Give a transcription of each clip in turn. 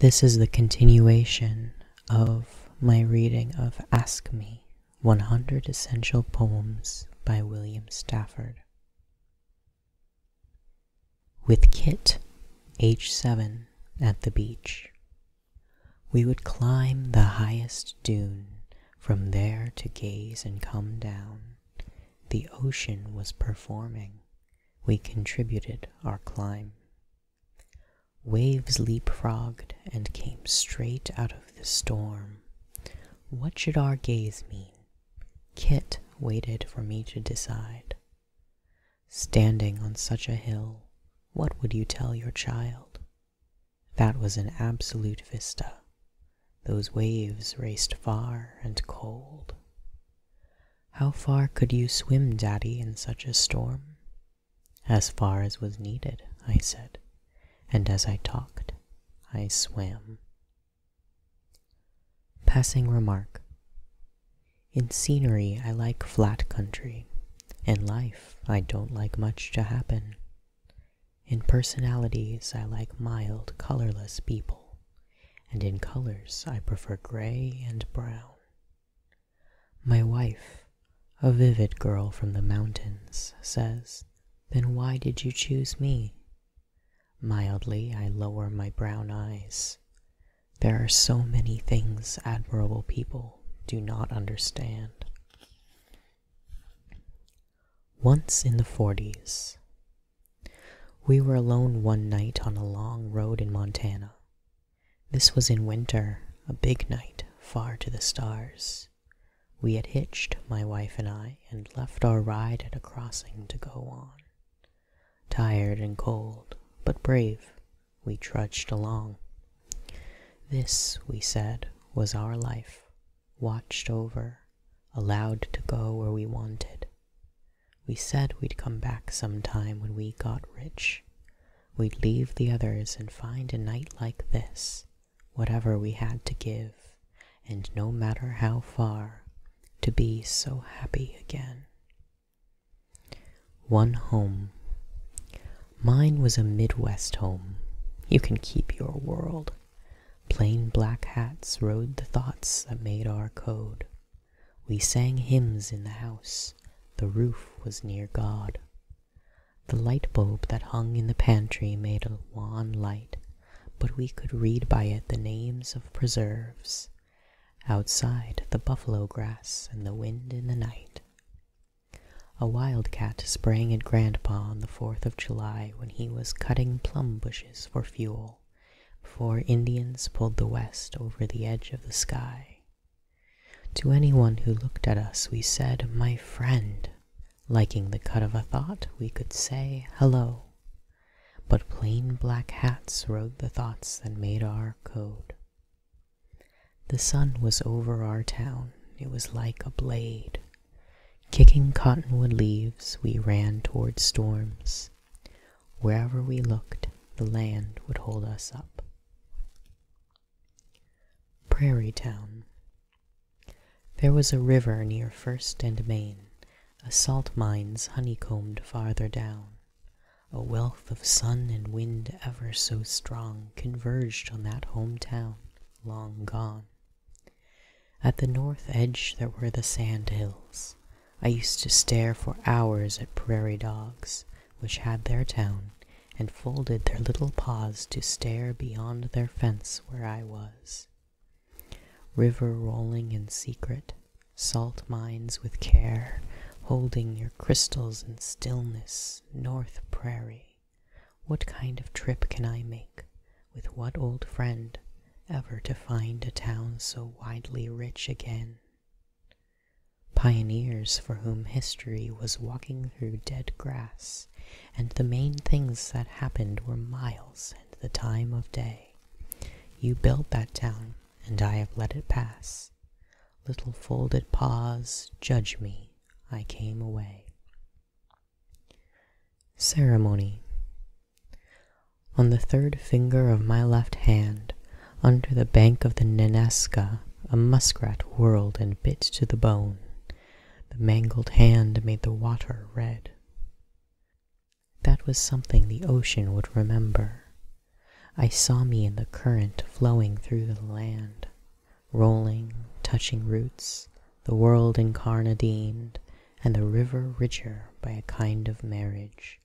This is the continuation of my reading of Ask Me 100 Essential Poems by William Stafford. With Kit, age 7, at the beach, we would climb the highest dune, from there to gaze and come down. The ocean was performing we contributed our climb. Waves leapfrogged and came straight out of the storm. What should our gaze mean? Kit waited for me to decide. Standing on such a hill, what would you tell your child? That was an absolute vista. Those waves raced far and cold. How far could you swim, Daddy, in such a storm? As far as was needed, I said, and as I talked, I swam. Passing remark In scenery, I like flat country. In life, I don't like much to happen. In personalities, I like mild, colorless people and in colors I prefer gray and brown. My wife, a vivid girl from the mountains, says, Then why did you choose me? Mildly I lower my brown eyes. There are so many things admirable people do not understand. Once in the forties, we were alone one night on a long road in Montana. This was in winter, a big night, far to the stars. We had hitched, my wife and I, and left our ride at a crossing to go on. Tired and cold, but brave, we trudged along. This, we said, was our life, watched over, allowed to go where we wanted. We said we'd come back some time when we got rich. We'd leave the others and find a night like this, whatever we had to give, and no matter how far, to be so happy again. One home. Mine was a Midwest home. You can keep your world. Plain black hats rode the thoughts that made our code. We sang hymns in the house, the roof was near God. The light bulb that hung in the pantry made a wan light, but we could read by it the names of preserves. Outside, the buffalo grass and the wind in the night. A wildcat sprang at Grandpa on the Fourth of July when he was cutting plum bushes for fuel people Indians pulled the west over the edge of the sky. To anyone who looked at us, we said, My friend. Liking the cut of a thought, we could say, Hello. But plain black hats rode the thoughts that made our code. The sun was over our town, it was like a blade. Kicking cottonwood leaves, we ran toward storms. Wherever we looked, the land would hold us up. Prairie Town. There was a river near First and Main, a salt mines honeycombed farther down. A wealth of sun and wind ever so strong converged on that home town, long gone. At the north edge there were the sand hills, I used to stare for hours at prairie dogs, which had their town, and folded their little paws to stare beyond their fence where I was. River rolling in secret, salt mines with care, holding your crystals in stillness, North Prairie. What kind of trip can I make? With what old friend? Ever to find a town so widely rich again? Pioneers for whom history was walking through dead grass, and the main things that happened were miles and the time of day. You built that town, and I have let it pass. Little folded paws, judge me, I came away. Ceremony. On the third finger of my left hand, under the bank of the Nenaska, a muskrat whirled and bit to the bone. The mangled hand made the water red. That was something the ocean would remember. I saw me in the current flowing through the land, rolling, touching roots, the world incarnadined, and the river richer by a kind of marriage.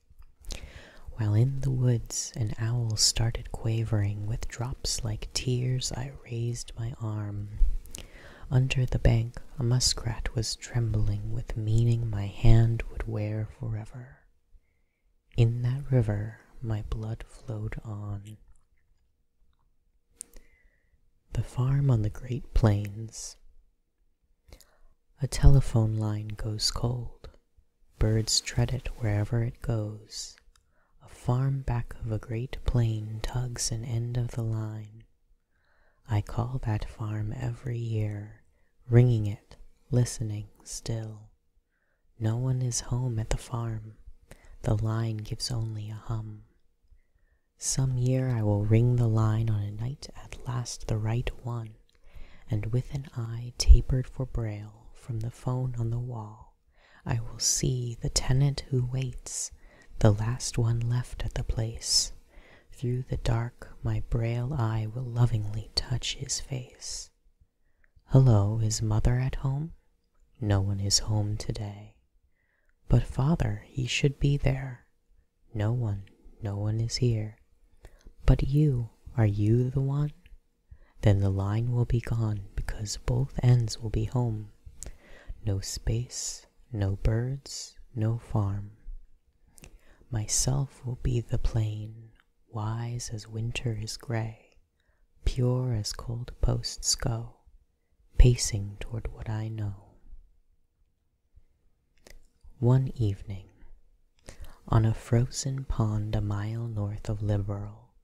While in the woods an owl started quavering, with drops like tears I raised my arm. Under the bank a muskrat was trembling with meaning my hand would wear forever. In that river my blood flowed on. The farm on the Great Plains. A telephone line goes cold, birds tread it wherever it goes, a farm back of a great plain tugs an end of the line. I call that farm every year, ringing it, listening still. No one is home at the farm, the line gives only a hum. Some year I will ring the line on a night at last the right one. And with an eye tapered for Braille from the phone on the wall, I will see the tenant who waits, the last one left at the place. Through the dark, my Braille eye will lovingly touch his face. Hello, is mother at home? No one is home today. But father, he should be there. No one, no one is here. But you, are you the one? Then the line will be gone because both ends will be home. No space, no birds, no farm. Myself will be the plain, wise as winter is gray, pure as cold posts go, pacing toward what I know. One evening, on a frozen pond a mile north of Liberal,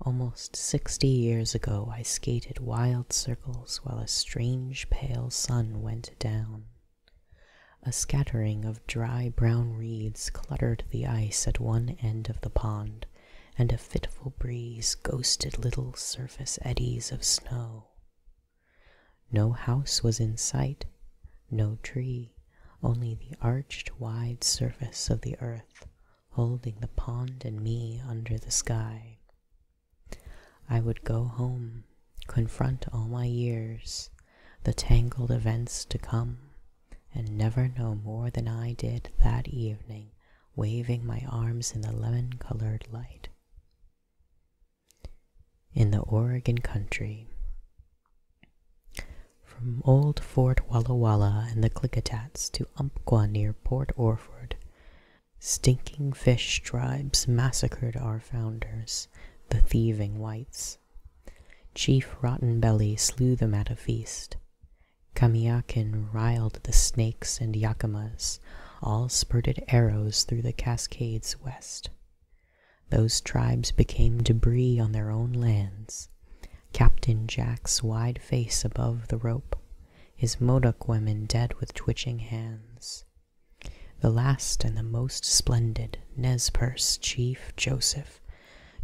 almost sixty years ago, I skated wild circles while a strange pale sun went down. A scattering of dry brown reeds cluttered the ice at one end of the pond, and a fitful breeze ghosted little surface eddies of snow. No house was in sight, no tree, only the arched wide surface of the earth holding the pond and me under the sky. I would go home, confront all my years, the tangled events to come, and never know more than I did that evening, waving my arms in the lemon colored light in the Oregon country. From old Fort Walla Walla and the Klickitats to Umpqua near Port Orford, stinking fish tribes massacred our founders, the thieving whites. Chief Rotten Belly slew them at a feast. Kamiakin riled the Snakes and Yakimas, all spurted arrows through the Cascades west. Those tribes became debris on their own lands. Captain Jack's wide face above the rope, his Modoc women dead with twitching hands. The last and the most splendid, Nez Perce Chief Joseph,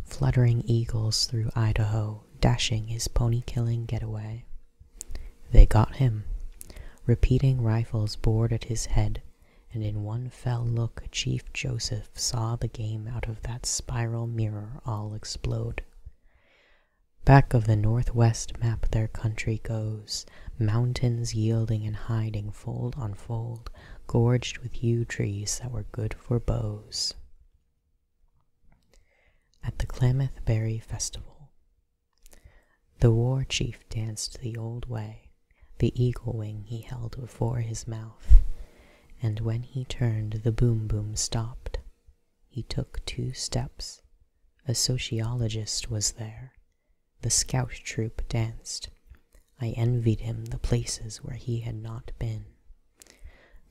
fluttering eagles through Idaho, dashing his pony-killing getaway. They got him. Repeating rifles bored at his head, and in one fell look Chief Joseph saw the game out of that spiral mirror all explode. Back of the northwest map their country goes, mountains yielding and hiding fold on fold, gorged with yew trees that were good for bows. At the Klamath Berry Festival, the war chief danced the old way, the eagle wing he held before his mouth, and when he turned the boom boom stopped. He took two steps. A sociologist was there. The scout troop danced. I envied him the places where he had not been.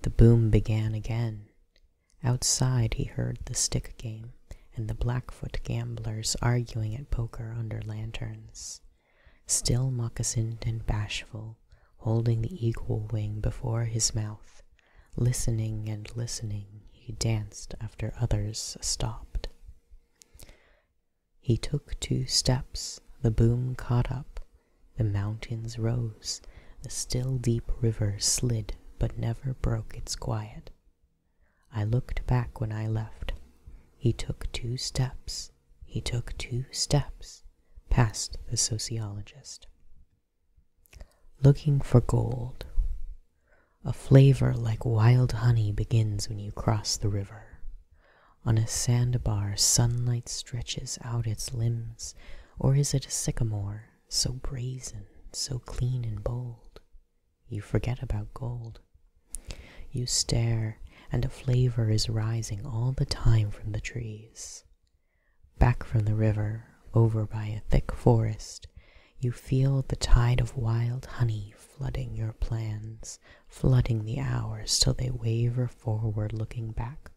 The boom began again. Outside he heard the stick game and the Blackfoot gamblers arguing at poker under lanterns. Still moccasined and bashful, holding the eagle wing before his mouth, listening and listening, he danced after others stopped. He took two steps, the boom caught up, the mountains rose, the still deep river slid but never broke its quiet. I looked back when I left. He took two steps, he took two steps past the sociologist. Looking for gold. A flavor like wild honey begins when you cross the river. On a sandbar, sunlight stretches out its limbs, or is it a sycamore, so brazen, so clean and bold? You forget about gold. You stare, and a flavor is rising all the time from the trees. Back from the river, over by a thick forest, you feel the tide of wild honey flooding your plans, flooding the hours till they waver forward looking back.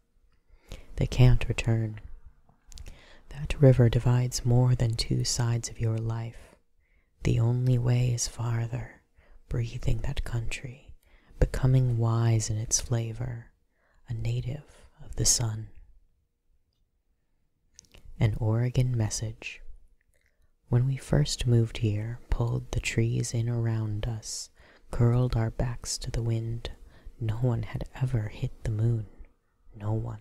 They can't return. That river divides more than two sides of your life. The only way is farther, breathing that country, becoming wise in its flavor, a native of the sun. An Oregon Message When we first moved here, pulled the trees in around us, curled our backs to the wind, no one had ever hit the moon, no one.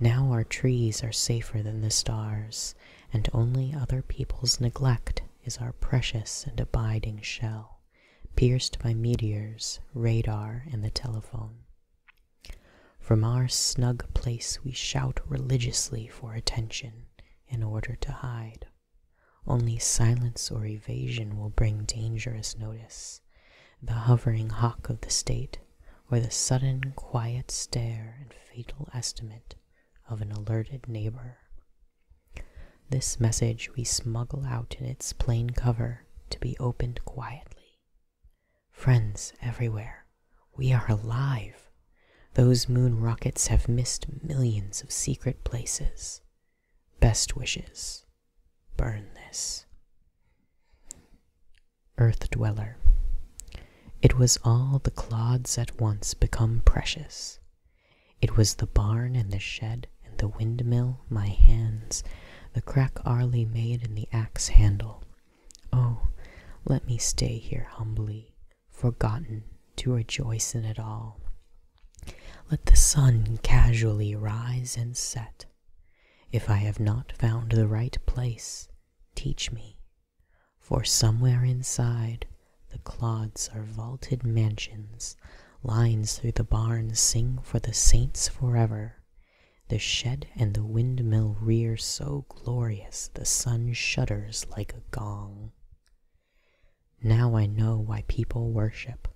Now our trees are safer than the stars, and only other people's neglect is our precious and abiding shell, pierced by meteors, radar, and the telephone. From our snug place we shout religiously for attention in order to hide. Only silence or evasion will bring dangerous notice. The hovering hawk of the state or the sudden quiet stare and fatal estimate of an alerted neighbor. This message we smuggle out in its plain cover to be opened quietly. Friends everywhere, we are alive. Those moon rockets have missed millions of secret places. Best wishes. Burn this. Earth dweller. It was all the clods at once become precious. It was the barn and the shed and the windmill, my hands, the crack Arlie made in the axe handle. Oh, let me stay here humbly, forgotten, to rejoice in it all. Let the sun casually rise and set. If I have not found the right place, Teach me, for somewhere inside the clods are vaulted mansions, lines through the barns sing for the saints forever, the shed and the windmill rear so glorious the sun shudders like a gong. Now I know why people worship,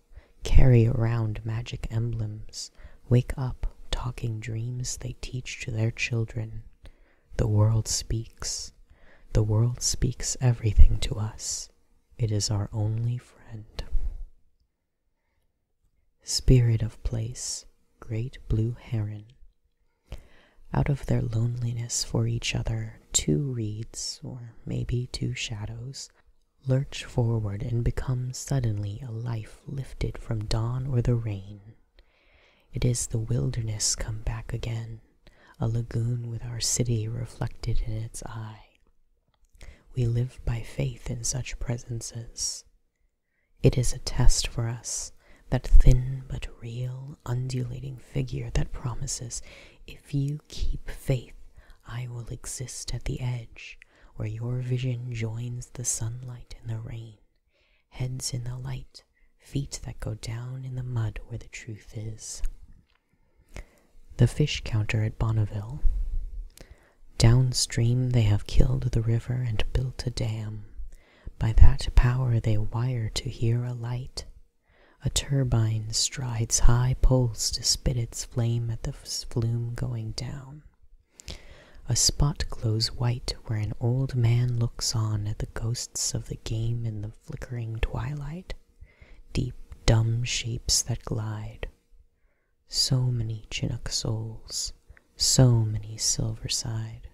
carry around magic emblems. Wake up, talking dreams they teach to their children. The world speaks. The world speaks everything to us. It is our only friend. Spirit of place, great blue heron. Out of their loneliness for each other, two reeds, or maybe two shadows, lurch forward and become suddenly a life lifted from dawn or the rain. It is the wilderness come back again, a lagoon with our city reflected in its eye. We live by faith in such presences. It is a test for us, that thin but real, undulating figure that promises, if you keep faith, I will exist at the edge, where your vision joins the sunlight and the rain, heads in the light, feet that go down in the mud where the truth is. The fish counter at Bonneville. Downstream they have killed the river and built a dam. By that power they wire to hear a light. A turbine strides high poles to spit its flame at the flume going down. A spot glows white where an old man looks on at the ghosts of the game in the flickering twilight, deep, dumb shapes that glide. So many Chinook souls, so many silver side.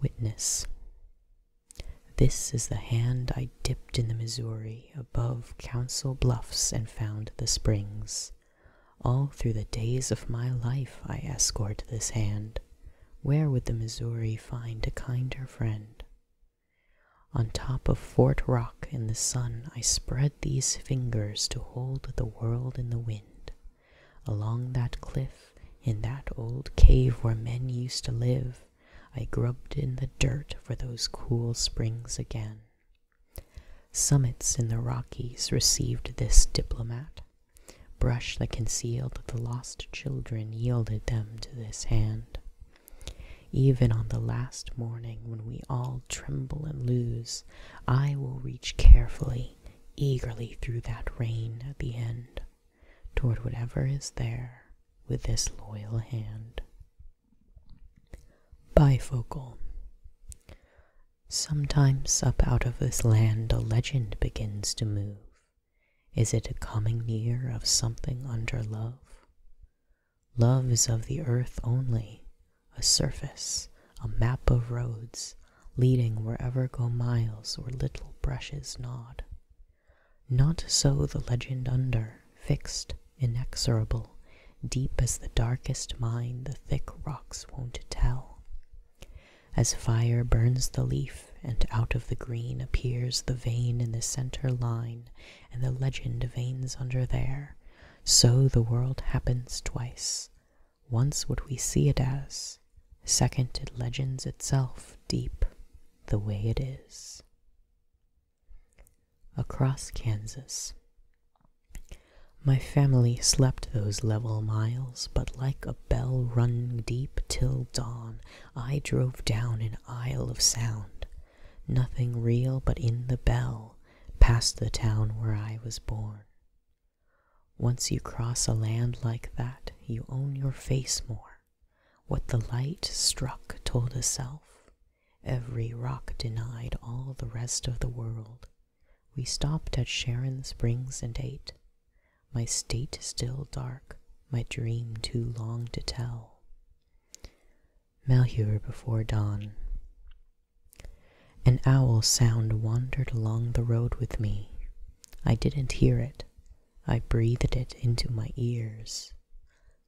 Witness. This is the hand I dipped in the Missouri above Council Bluffs and found the springs. All through the days of my life I escort this hand. Where would the Missouri find a kinder friend? On top of Fort Rock in the sun I spread these fingers to hold the world in the wind. Along that cliff, in that old cave where men used to live, I grubbed in the dirt for those cool springs again. Summits in the Rockies received this diplomat. Brush that concealed the lost children yielded them to this hand. Even on the last morning when we all tremble and lose, I will reach carefully, eagerly through that rain at the end, toward whatever is there with this loyal hand. Bifocal. Sometimes up out of this land a legend begins to move. Is it a coming near of something under love? Love is of the earth only, a surface, a map of roads, leading wherever go miles or little brushes nod. Not so the legend under, fixed, inexorable, Deep as the darkest mine the thick rocks won't tell. As fire burns the leaf, and out of the green appears the vein in the center line, and the legend veins under there, so the world happens twice. Once what we see it as, second it legends itself deep the way it is across Kansas. My family slept those level miles, but like a bell rung deep till dawn, I drove down an isle of sound. Nothing real but in the bell, past the town where I was born. Once you cross a land like that, you own your face more. What the light struck told itself. Every rock denied all the rest of the world. We stopped at Sharon Springs and ate. My state is still dark, my dream too long to tell. Malheur before dawn. An owl sound wandered along the road with me. I didn't hear it. I breathed it into my ears.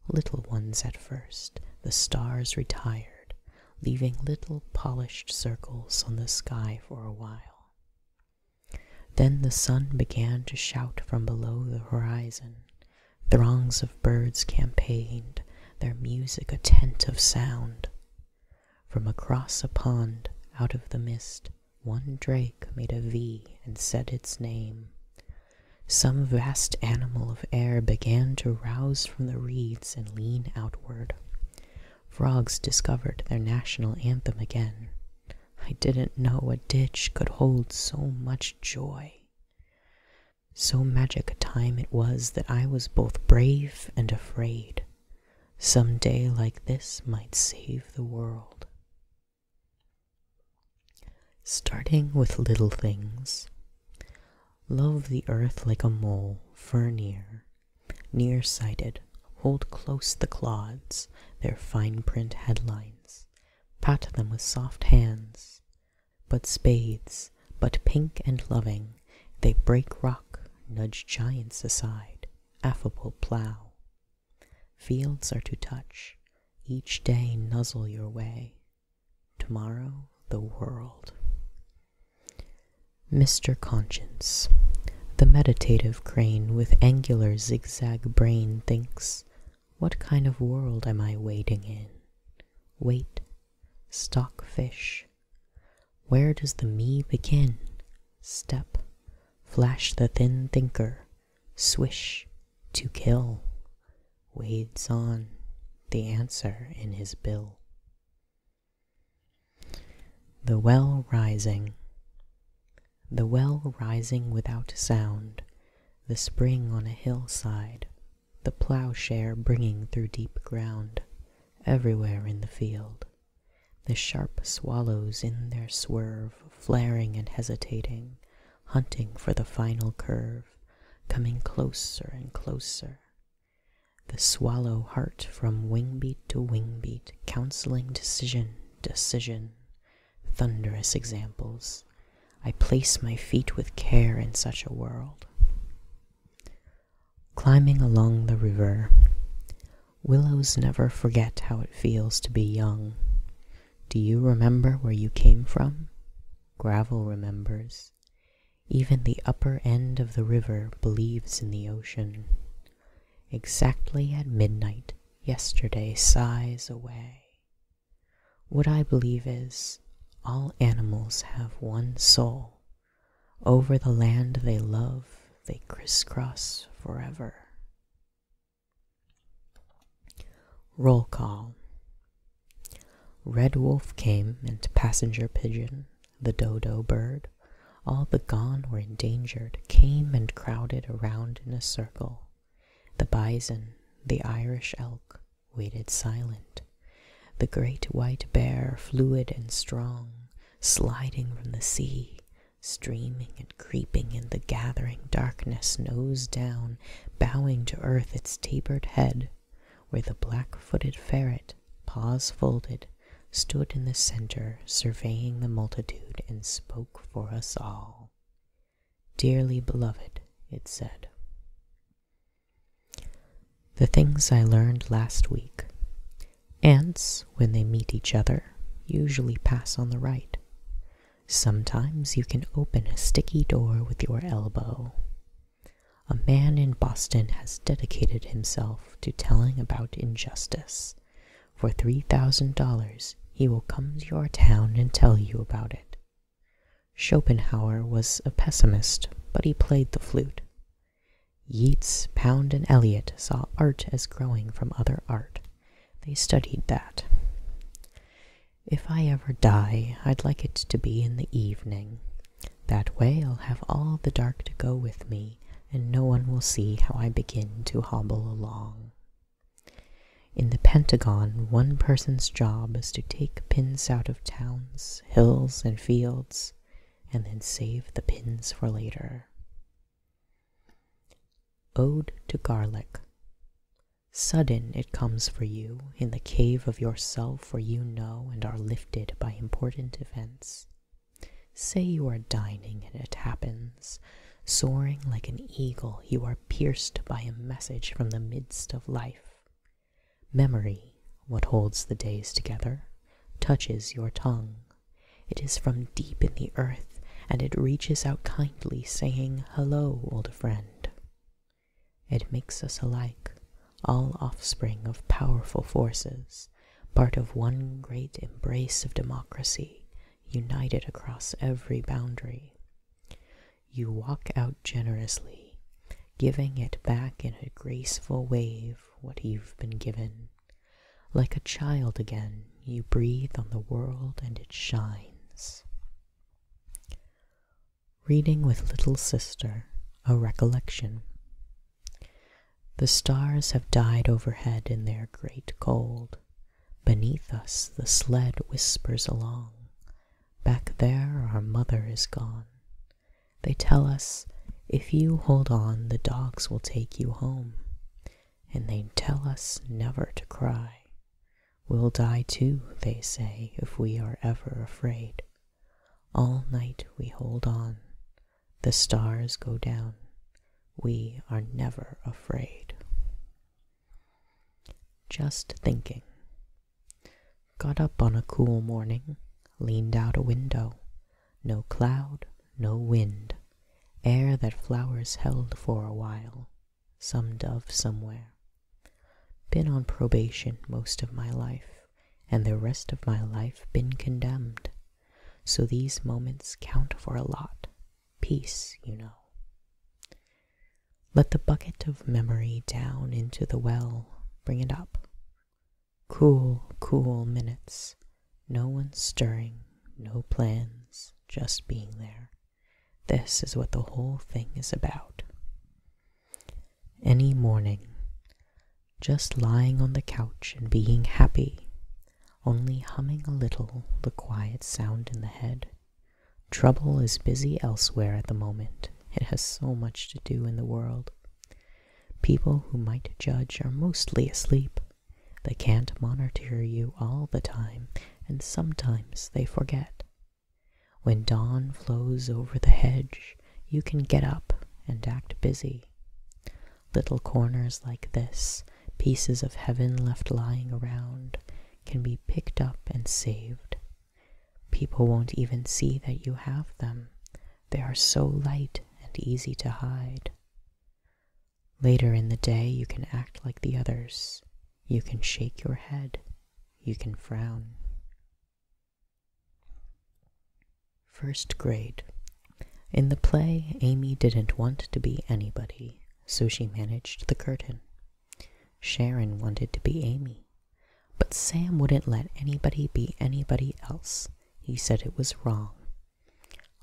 Little ones at first, the stars retired, leaving little polished circles on the sky for a while. Then the sun began to shout from below the horizon. Throngs of birds campaigned, their music a tent of sound. From across a pond, out of the mist, one drake made a V and said its name. Some vast animal of air began to rouse from the reeds and lean outward. Frogs discovered their national anthem again. I didn't know a ditch could hold so much joy. So magic a time it was that I was both brave and afraid. Some day like this might save the world. Starting with little things. Love the earth like a mole, near, near-sighted, hold close the clods, their fine-print headlines, pat them with soft hands. But spades, but pink and loving, they break rock, nudge giants aside, affable plough. Fields are to touch, each day nuzzle your way, Tomorrow, the world. Mr. Conscience, the meditative crane with angular zigzag brain, thinks, What kind of world am I wading in? Wait, stockfish. Where does the me begin? Step, flash the thin thinker, swish, to kill wades on the answer in his bill. The well rising. The well rising without sound, the spring on a hillside, the ploughshare bringing through deep ground, everywhere in the field, the sharp swallows in their swerve, flaring and hesitating, hunting for the final curve, coming closer and closer, the swallow heart from wing beat to wing beat, counselling decision, decision, thunderous examples. I place my feet with care in such a world. Climbing along the river, willows never forget how it feels to be young. Do you remember where you came from? Gravel remembers. Even the upper end of the river believes in the ocean. Exactly at midnight yesterday sighs away. What I believe is, all animals have one soul. Over the land they love, they crisscross forever. Roll call. Red Wolf came, and Passenger Pigeon, the dodo bird, all the gone or endangered, came and crowded around in a circle. The bison, the Irish elk, waited silent. The great white bear, fluid and strong, sliding from the sea, streaming and creeping in the gathering darkness, nose down, bowing to earth its tapered head, where the black footed ferret, paws folded, stood in the centre, surveying the multitude, and spoke for us all. Dearly beloved, it said. The things I learned last week. Ants, when they meet each other, usually pass on the right. Sometimes you can open a sticky door with your elbow. A man in Boston has dedicated himself to telling about injustice. For $3,000, he will come to your town and tell you about it. Schopenhauer was a pessimist, but he played the flute. Yeats, Pound, and Eliot saw art as growing from other art. They studied that. If I ever die, I'd like it to be in the evening. That way I'll have all the dark to go with me, and no one will see how I begin to hobble along. In the Pentagon, one person's job is to take pins out of towns, hills, and fields, and then save the pins for later. Ode to Garlic Sudden it comes for you, in the cave of yourself, where you know and are lifted by important events. Say you are dining and it happens. Soaring like an eagle, you are pierced by a message from the midst of life. Memory, what holds the days together, touches your tongue. It is from deep in the earth, and it reaches out kindly, saying, Hello, old friend. It makes us alike, all offspring of powerful forces, part of one great embrace of democracy, united across every boundary. You walk out generously, giving it back in a graceful wave what you've been given. Like a child again, you breathe on the world and it shines. Reading with Little Sister A Recollection The stars have died overhead in their great cold. Beneath us the sled whispers along, Back there our mother is gone. They tell us, if you hold on the dogs will take you home, And they tell us never to cry. We'll die too, they say, if we are ever afraid. All night we hold on, the stars go down, we are never afraid. Just thinking. Got up on a cool morning, leaned out a window. No cloud, no wind, air that flowers held for a while, some dove somewhere, been on probation most of my life, and the rest of my life been condemned. So these moments count for a lot. Peace, you know. Let the bucket of memory down into the well, bring it up. Cool, cool minutes. No one stirring, no plans, just being there. This is what the whole thing is about any morning, just lying on the couch and being happy, only humming a little the quiet sound in the head. Trouble is busy elsewhere at the moment. It has so much to do in the world. People who might judge are mostly asleep. They can't monitor you all the time, and sometimes they forget. When dawn flows over the hedge, you can get up and act busy. Little corners like this, pieces of heaven left lying around, can be picked up and saved. People won't even see that you have them. They are so light and easy to hide. Later in the day, you can act like the others. You can shake your head. You can frown. First grade. In the play, Amy didn't want to be anybody, so she managed the curtain. Sharon wanted to be Amy, but Sam wouldn't let anybody be anybody else. He said it was wrong.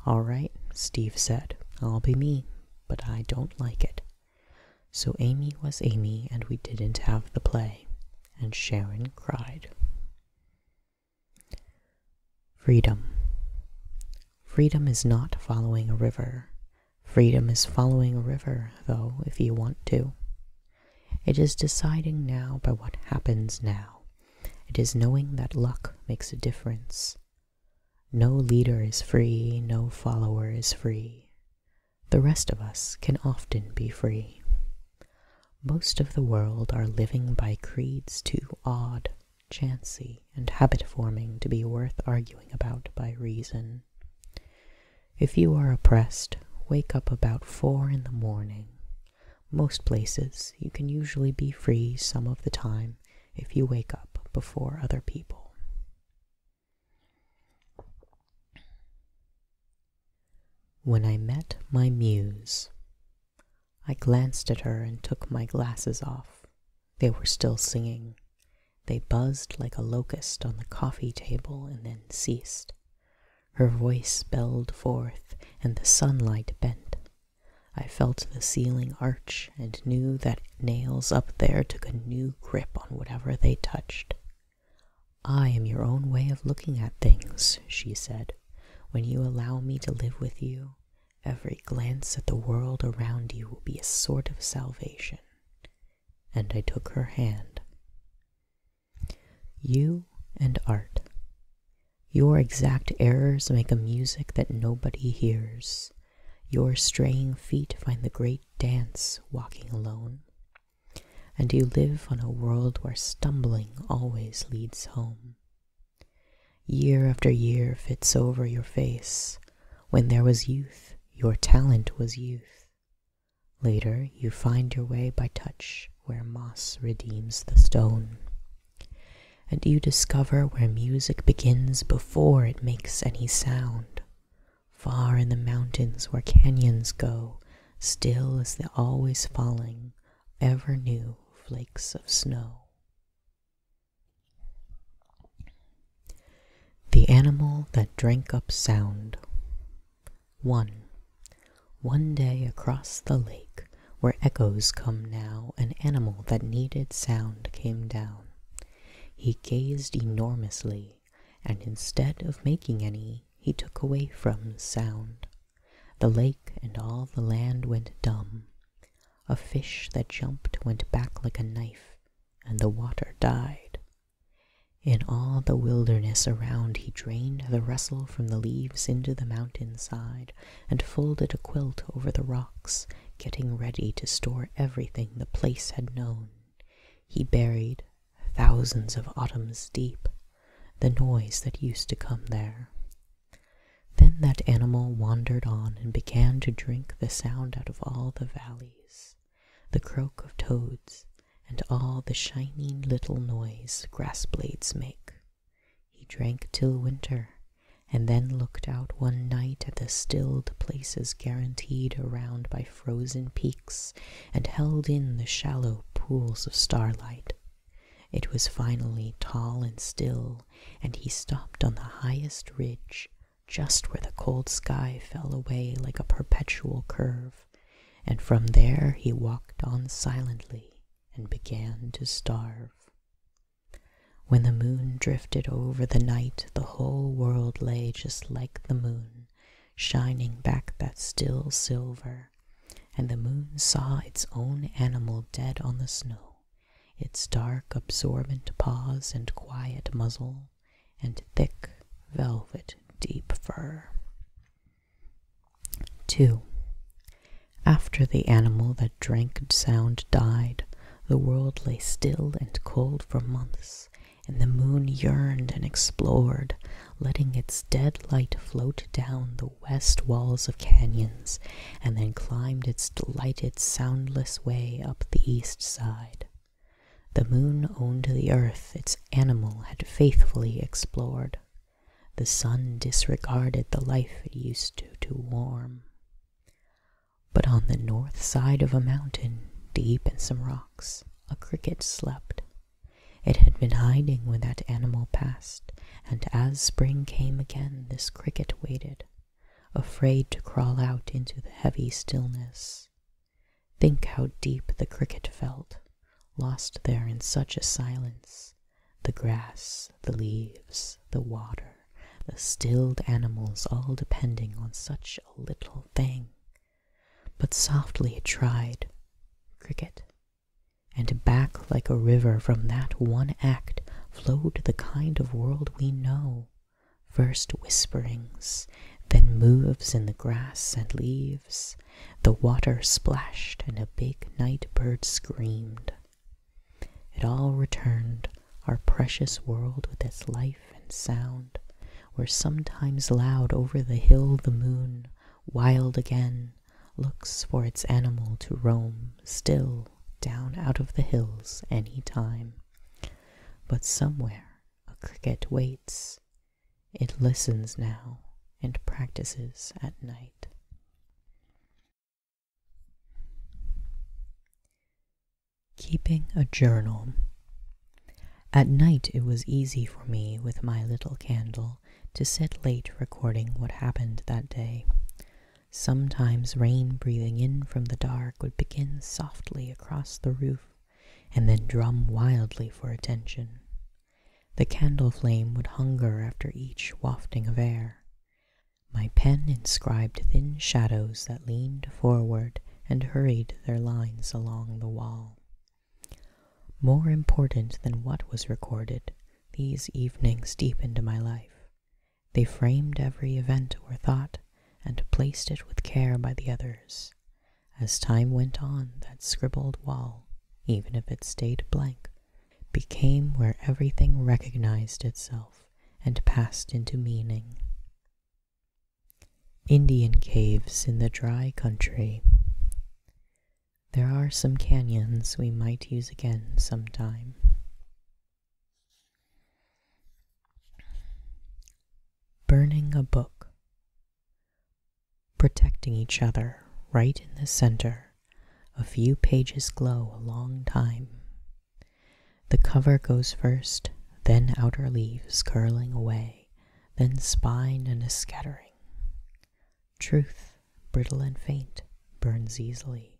All right, Steve said, I'll be me, but I don't like it. So Amy was Amy, and we didn't have the play, and Sharon cried. Freedom. Freedom is not following a river. Freedom is following a river, though, if you want to. It is deciding now by what happens now. It is knowing that luck makes a difference. No leader is free, no follower is free. The rest of us can often be free. Most of the world are living by creeds too odd, chancy, and habit forming to be worth arguing about by reason. If you are oppressed, wake up about four in the morning. Most places you can usually be free some of the time if you wake up before other people. When I met my muse, I glanced at her and took my glasses off. They were still singing. They buzzed like a locust on the coffee table and then ceased. Her voice spelled forth, and the sunlight bent. I felt the ceiling arch and knew that nails up there took a new grip on whatever they touched. I am your own way of looking at things, she said. When you allow me to live with you, every glance at the world around you will be a sort of salvation. And I took her hand. You and art. Your exact errors make a music that nobody hears. Your straying feet find the great dance walking alone. And you live on a world where stumbling always leads home. Year after year fits over your face. When there was youth, your talent was youth. Later, you find your way by touch where moss redeems the stone. And you discover where music begins before it makes any sound, Far in the mountains where canyons go, still as the always falling, ever new flakes of snow. The Animal That Drank Up Sound. 1. One day across the lake, where echoes come now, an animal that needed sound came down. He gazed enormously and instead of making any, he took away from sound. The lake and all the land went dumb. A fish that jumped went back like a knife, and the water died. In all the wilderness around he drained the rustle from the leaves into the mountain side, and folded a quilt over the rocks, getting ready to store everything the place had known. He buried thousands of autumns deep, the noise that used to come there. Then that animal wandered on and began to drink the sound out of all the valleys, the croak of toads, and all the shining little noise grass blades make. He drank till winter, and then looked out one night at the stilled places guaranteed around by frozen peaks and held in the shallow pools of starlight. It was finally tall and still, and he stopped on the highest ridge, just where the cold sky fell away like a perpetual curve, and from there he walked on silently and began to starve. When the moon drifted over the night, the whole world lay just like the moon, shining back that still silver, and the moon saw its own animal dead on the snow, its dark, absorbent paws and quiet muzzle, and thick, velvet, deep fur. 2. After the animal that drank sound died, the world lay still and cold for months, and the moon yearned and explored, letting its dead light float down the west walls of canyons, and then climbed its delighted, soundless way up the east side. The moon owned the earth its animal had faithfully explored. The sun disregarded the life it used to, to warm. But on the north side of a mountain, deep in some rocks, a cricket slept. It had been hiding when that animal passed, and as spring came again this cricket waited, afraid to crawl out into the heavy stillness. Think how deep the cricket felt, lost there in such a silence. The grass, the leaves, the water, the stilled animals all depending on such a little thing but softly it tried, cricket, and back like a river from that one act Flowed the kind of world we know, first whisperings, then moves in the grass and leaves, The water splashed and a big night bird screamed. It all returned, our precious world with its life and sound, where sometimes loud over the hill the moon, wild again, looks for its animal to roam still down out of the hills any time. But somewhere a cricket waits. It listens now and practices at night. Keeping a journal. At night it was easy for me with my little candle to sit late recording what happened that day. Sometimes rain breathing in from the dark would begin softly across the roof and then drum wildly for attention. The candle flame would hunger after each wafting of air. My pen inscribed thin shadows that leaned forward and hurried their lines along the wall. More important than what was recorded, these evenings deepened my life. They framed every event or thought and placed it with care by the others. As time went on, that scribbled wall, even if it stayed blank, became where everything recognized itself and passed into meaning. Indian caves in the dry country. There are some canyons we might use again some time. Burning a book. Protecting each other right in the center. A few pages glow a long time. The cover goes first, then outer leaves curling away, then spine and a scattering. Truth, brittle and faint, burns easily.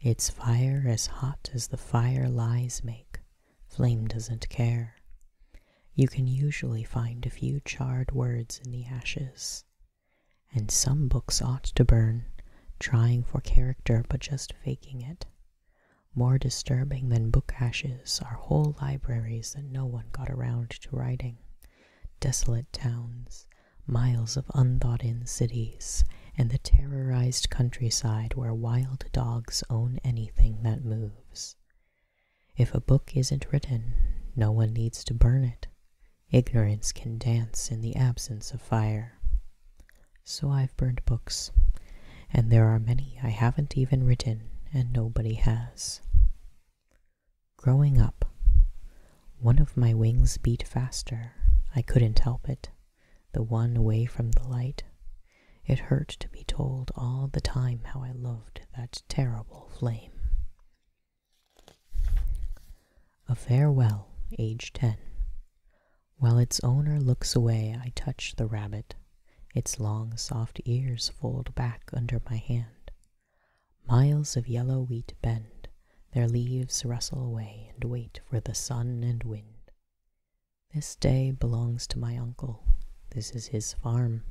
Its fire as hot as the fire lies make, flame doesn't care. You can usually find a few charred words in the ashes. And some books ought to burn, trying for character but just faking it. More disturbing than book ashes are whole libraries that no one got around to writing, desolate towns, miles of unthought in cities, and the terrorized countryside where wild dogs own anything that moves. If a book isn't written, no one needs to burn it. Ignorance can dance in the absence of fire. So I've burned books, and there are many I haven't even written, and nobody has. Growing up, one of my wings beat faster. I couldn't help it, the one away from the light. It hurt to be told all the time how I loved that terrible flame. A farewell, age ten. While its owner looks away, I touch the rabbit. Its long, soft ears fold back under my hand. Miles of yellow wheat bend, their leaves rustle away and wait for the sun and wind. This day belongs to my uncle. This is his farm.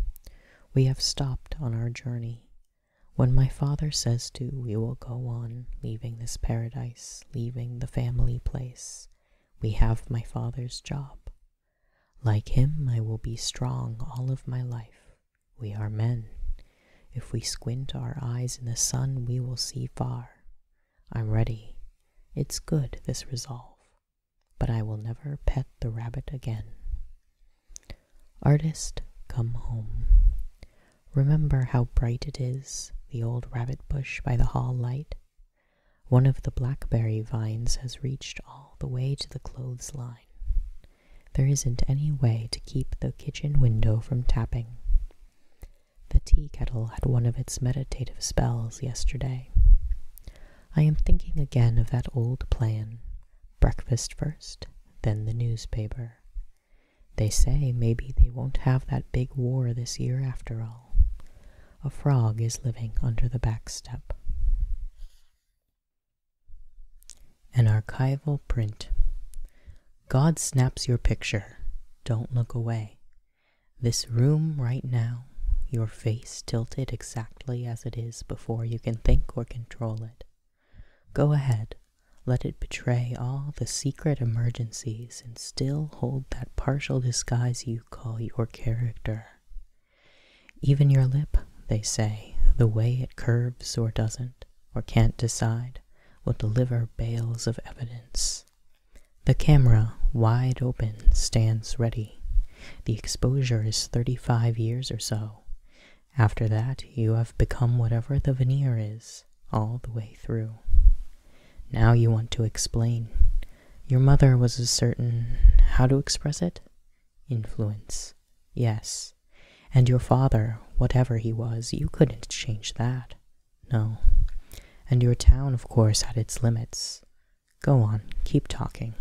We have stopped on our journey. When my father says to, we will go on, leaving this paradise, leaving the family place. We have my father's job. Like him, I will be strong all of my life. We are men. If we squint our eyes in the sun, we will see far. I'm ready. It's good, this resolve. But I will never pet the rabbit again. Artist, come home. Remember how bright it is, the old rabbit bush by the hall light. One of the blackberry vines has reached all the way to the clothes line. There isn't any way to keep the kitchen window from tapping. The tea kettle had one of its meditative spells yesterday. I am thinking again of that old plan breakfast first, then the newspaper. They say maybe they won't have that big war this year after all. A frog is living under the back step. An archival print. God snaps your picture. Don't look away. This room right now, your face tilted exactly as it is before you can think or control it. Go ahead, let it betray all the secret emergencies and still hold that partial disguise you call your character. Even your lip, they say, the way it curves or doesn't, or can't decide, will deliver bales of evidence. The camera, wide open, stands ready. The exposure is 35 years or so. After that, you have become whatever the veneer is, all the way through. Now you want to explain. Your mother was a certain, how to express it? Influence. Yes. And your father, whatever he was, you couldn't change that. No. And your town, of course, had its limits. Go on, keep talking.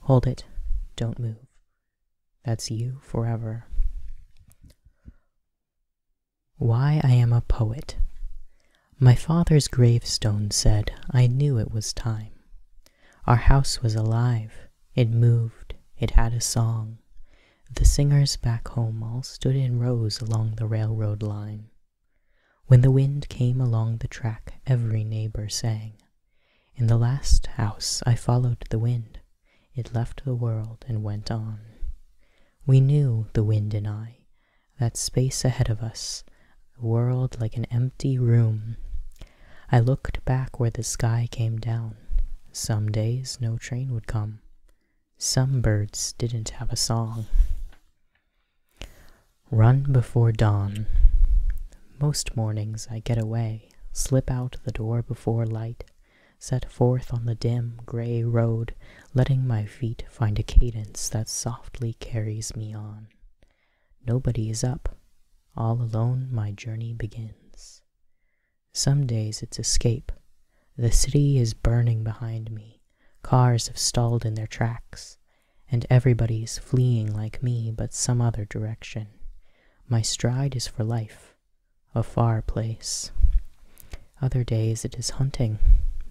Hold it. Don't move. That's you forever. Why I am a poet. My father's gravestone said I knew it was time. Our house was alive, it moved, it had a song. The singers back home all stood in rows along the railroad line. When the wind came along the track, every neighbor sang. In the last house I followed the wind. It left the world and went on. We knew, the wind and I, that space ahead of us, the world like an empty room. I looked back where the sky came down. Some days no train would come. Some birds didn't have a song. Run before dawn. Most mornings I get away, slip out the door before light, set forth on the dim, gray road letting my feet find a cadence that softly carries me on. Nobody is up. All alone, my journey begins. Some days it's escape. The city is burning behind me. Cars have stalled in their tracks, and everybody's fleeing like me but some other direction. My stride is for life, a far place. Other days it is hunting.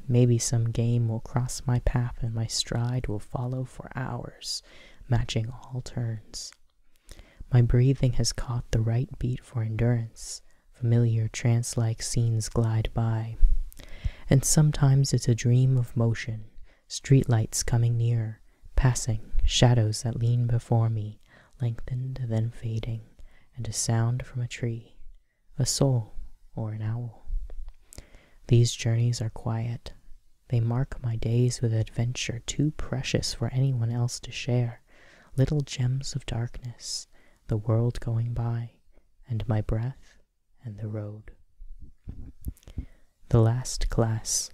Maybe some game will cross my path and my stride will follow for hours, matching all turns. My breathing has caught the right beat for endurance. Familiar trance like scenes glide by. And sometimes it's a dream of motion, streetlights coming near, passing, shadows that lean before me, lengthened then fading, and a sound from a tree a soul, or an owl. These journeys are quiet. They mark my days with adventure too precious for anyone else to share, little gems of darkness, the world going by, and my breath, and the road. The last class.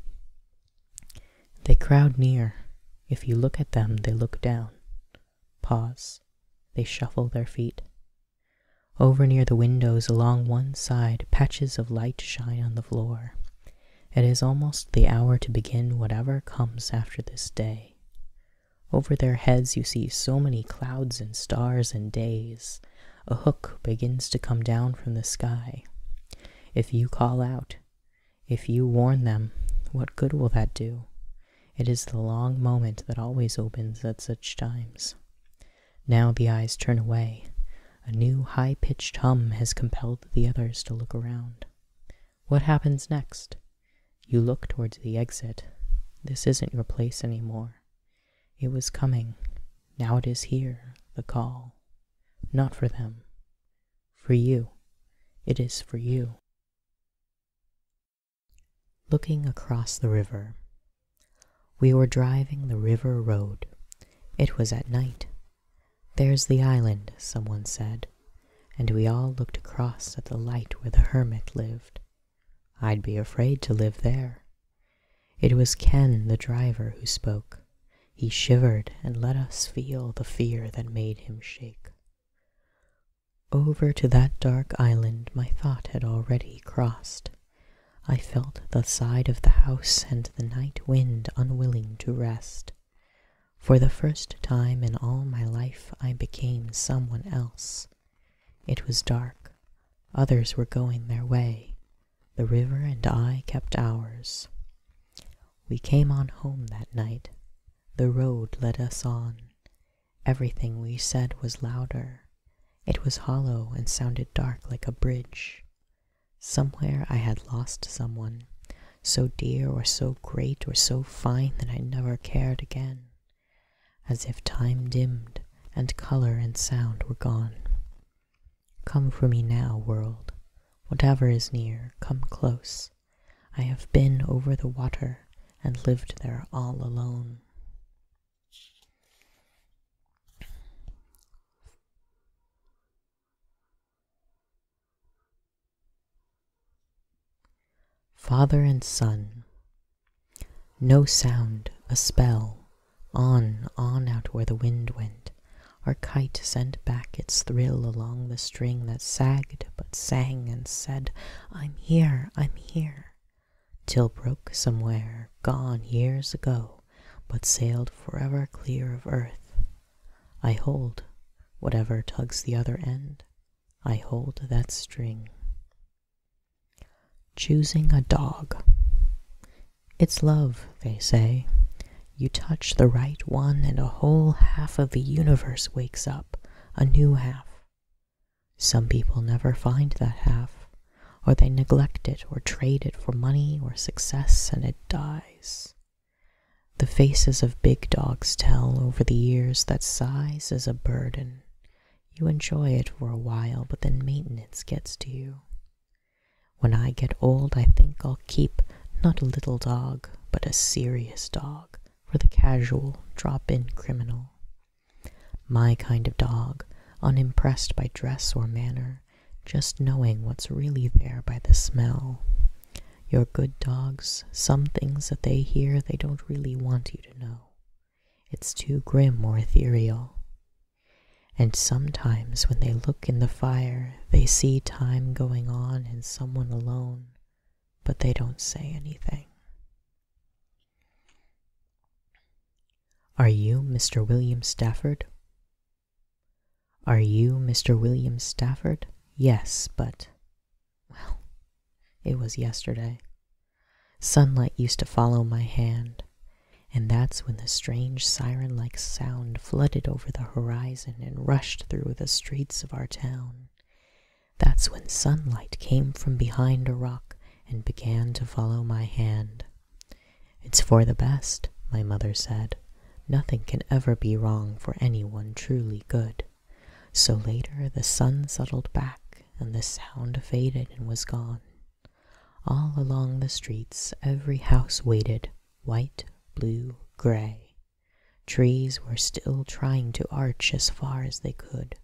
They crowd near. If you look at them, they look down. Pause. They shuffle their feet. Over near the windows along one side patches of light shine on the floor. It is almost the hour to begin whatever comes after this day. Over their heads you see so many clouds and stars and days. A hook begins to come down from the sky. If you call out, if you warn them, what good will that do? It is the long moment that always opens at such times. Now the eyes turn away. A new high pitched hum has compelled the others to look around. What happens next? You look towards the exit. This isn't your place any more. It was coming. Now it is here, the call. Not for them. For you. It is for you. Looking across the river. We were driving the river road. It was at night. There's the island, someone said, and we all looked across at the light where the hermit lived. I'd be afraid to live there. It was Ken, the driver, who spoke. He shivered and let us feel the fear that made him shake. Over to that dark island my thought had already crossed. I felt the side of the house and the night wind unwilling to rest. For the first time in all my life I became someone else. It was dark. Others were going their way. The river and I kept ours. We came on home that night. The road led us on. Everything we said was louder. It was hollow and sounded dark like a bridge. Somewhere I had lost someone, so dear or so great or so fine that I never cared again, as if time dimmed and color and sound were gone. Come for me now, world. Whatever is near, come close. I have been over the water and lived there all alone. Father and son. No sound, a spell. On, on out where the wind went. Our kite sent back its thrill along the string that sagged but sang and said, I'm here, I'm here till broke somewhere, gone years ago, but sailed forever clear of earth. I hold whatever tugs the other end, I hold that string. Choosing a dog. It's love, they say. You touch the right one, and a whole half of the universe wakes up, a new half, some people never find that half, or they neglect it or trade it for money or success and it dies. The faces of big dogs tell over the years that size is a burden. You enjoy it for a while, but then maintenance gets to you. When I get old, I think I'll keep not a little dog, but a serious dog for the casual, drop in criminal, my kind of dog, unimpressed by dress or manner, just knowing what's really there by the smell. Your good dogs, some things that they hear they don't really want you to know. It's too grim or ethereal. And sometimes when they look in the fire, they see time going on and someone alone, but they don't say anything. Are you Mr. William Stafford? Are you Mr. William Stafford? Yes, but. Well, it was yesterday. Sunlight used to follow my hand, and that's when the strange siren like sound flooded over the horizon and rushed through the streets of our town. That's when sunlight came from behind a rock and began to follow my hand. It's for the best, my mother said. Nothing can ever be wrong for anyone truly good. So later the sun settled back and the sound faded and was gone. All along the streets, every house waited, white, blue, gray. Trees were still trying to arch as far as they could.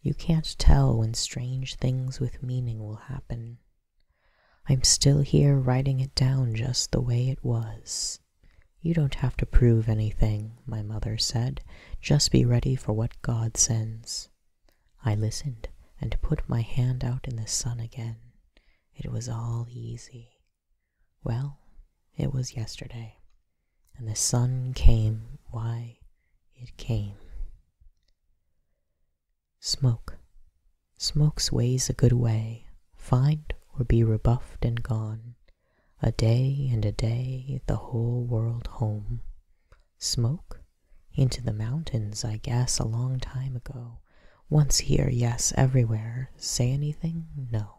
You can't tell when strange things with meaning will happen. I'm still here writing it down just the way it was. You don't have to prove anything, my mother said. Just be ready for what God sends. I listened and put my hand out in the sun again. It was all easy. Well, it was yesterday. And the sun came why it came. Smoke. Smoke sways a good way. Find or be rebuffed and gone. A day and a day, the whole world home. Smoke? Into the mountains, I guess, a long time ago. Once here, yes, everywhere. Say anything? No.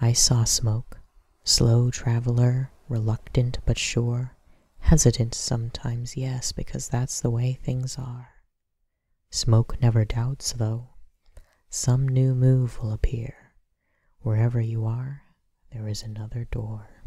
I saw smoke, slow traveler, reluctant but sure, hesitant sometimes, yes, because that's the way things are. Smoke never doubts, though. Some new move will appear. Wherever you are, there is another door.